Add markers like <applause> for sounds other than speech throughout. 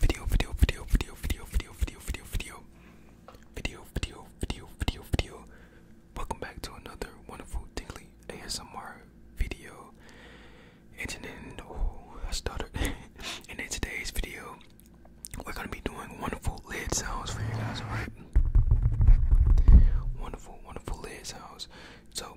Video, video, video, video, video, video, video, video, video, video, video, video, video, video. Welcome back to another wonderful daily ASMR video. And then, oh, I stuttered. <laughs> and in today's video, we're gonna be doing wonderful lid sounds for you guys, alright? Wonderful, wonderful lid sounds. So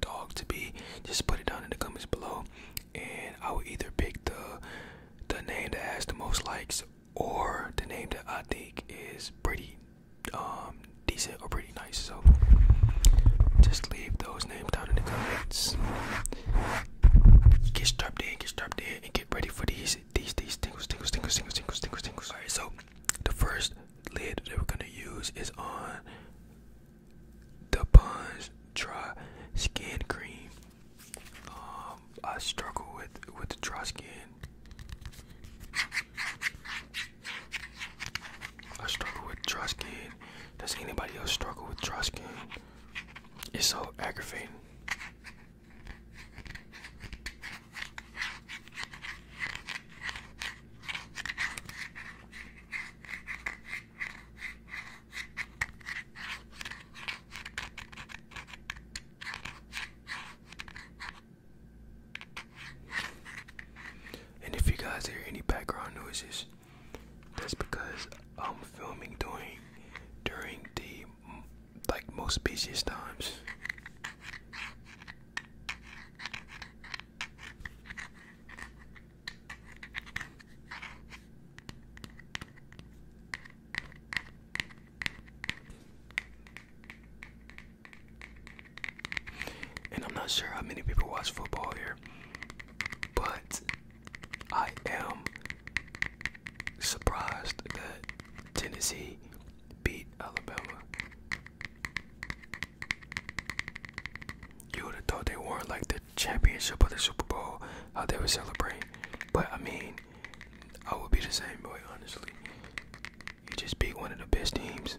dog to be, just put it down in the comments below, and I will either pick the the name that has the most likes or the name that I think is pretty um decent or pretty nice. So just leave those names down in the comments. Get strapped in, get strapped in, and get ready for these these these tingles, tingles, tingles, tingles, tingles, tingles, tingles. Alright, so the first lid that we're gonna use is on the Pond's Dry Skin Cream. Um, I struggle with with the dry skin. I struggle with dry skin. Does anybody else struggle with dry skin? It's so aggravating. And if you guys hear any background noises, that's because I'm filming during during the like most busiest times. And I'm not sure how many people watch football here, but I am surprised that Tennessee beat Alabama. You would have thought they won like the championship or the Super Bowl, how they would celebrate. But I mean, I would be the same boy, honestly. You just beat one of the best teams.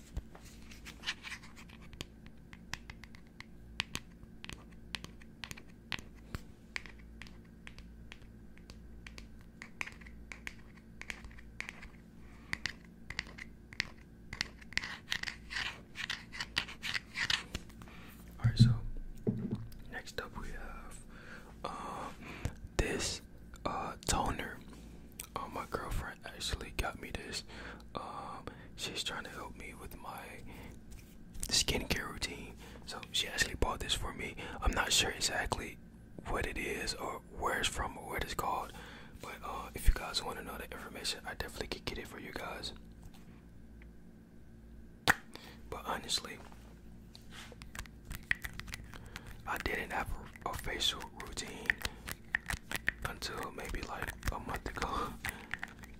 All right, so next up we have uh, this uh, toner. Uh, my girlfriend actually got me this. Um, she's trying to help me with my skincare routine. So she actually bought this for me. I'm not sure exactly what it is or where it's from or what it's called. But uh, if you guys want to know the information, I definitely could get it for you guys. But honestly, I didn't have a, facial routine until maybe like a month ago.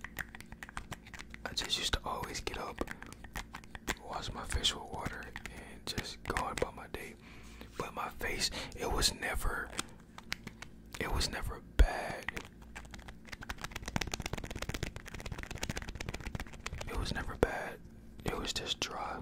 <laughs> I just used to always get up, wash my face with water, and just go on about my day. But my face, it was never, it was never bad. It was never bad. It was just dry.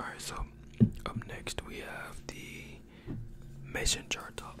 Alright, so up next we have the mason jar top.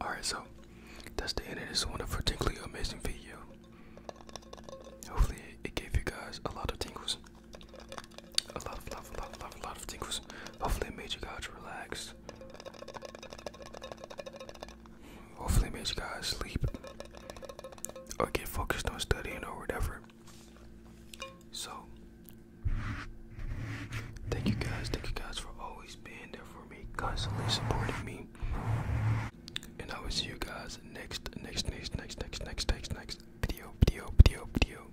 Alright, so that's the end of this wonderful, tingly, amazing video. Hopefully, it gave you guys a lot of tingles. A lot of, lot, lot, lot, lot of tingles. Hopefully, it made you guys relax. Hopefully, makes you guys sleep or get focused on studying or whatever. So, thank you guys, thank you guys for always being there for me, constantly supporting me. And I will see you guys next, next, next, next, next, next, next, next video, video, video, video.